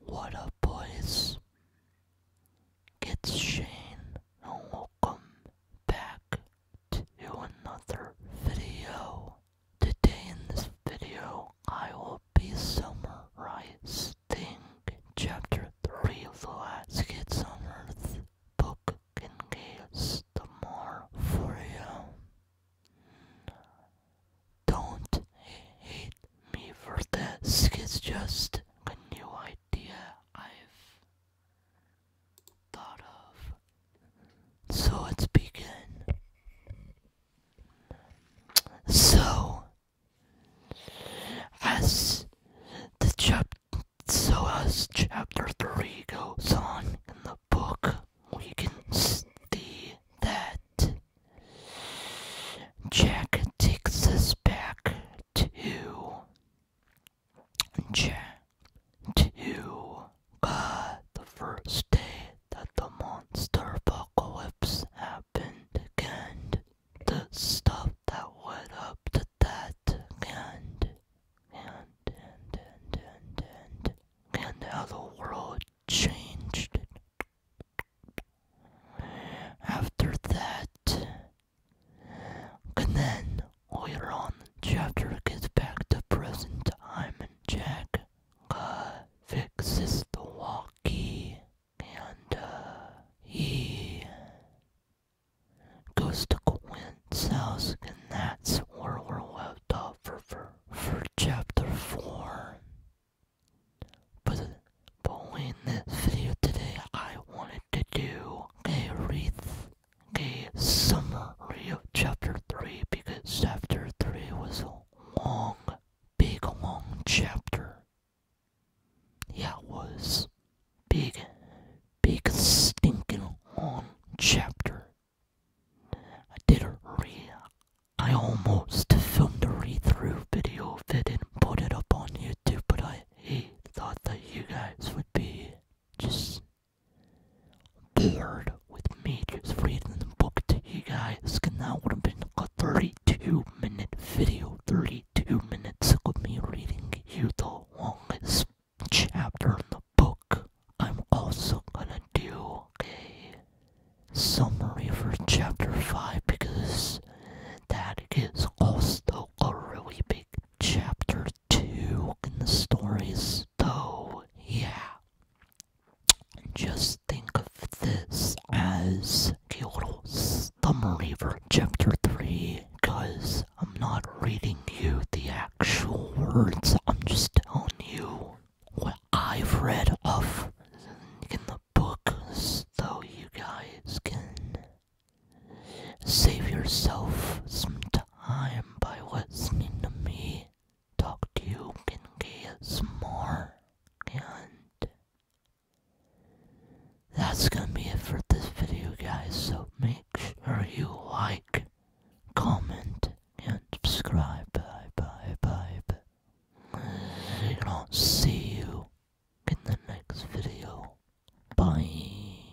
What up, boys? It's Shane, and welcome back to another video. Today, in this video, I will be summarizing Chapter 3 of The Last Kids on Earth book. and get the more for you. Don't hate me for this, it's just a new idea I've thought of. So let's begin. So, as the job. So as chapter 3 goes on in the book, we can see that Jack takes us back to Jack to uh, the first day that the monster apocalypse happened and the stuff that went up to that end and and and and and and how the world changed after that. And then later on, chapter gets back to present time, and Jack fixes the walkie, and he goes to Quinn's house, and that's where we're left off for, for, for chapter 4. But, but in this video today, I wanted to do a read, a summary of chapter 3, because chapter 3 was a long, big, long chapter. Yeah, it was. Big, big stinking long chapter. I did a re. I almost filmed a read through video of it and put it up on YouTube, but I hey, thought that you guys would be just bored with me just reading the book to you guys, and that would have been a 30 2 minute video, 32 minutes of me reading you the longest chapter in the book. I'm also gonna do a summary for chapter 5 because that is also a really big chapter 2 in the stories, though, yeah. Just think of this as Kyoto's Thumb Reaver Chapter 3, because I'm not reading you the actual words, I'm just telling you what I've read of in the book, so you guys can save yourself some time by listening to me talk to you guys more, and that's gonna be it for this video guys so make sure you like comment and subscribe bye bye bye, bye. and I'll see you in the next video bye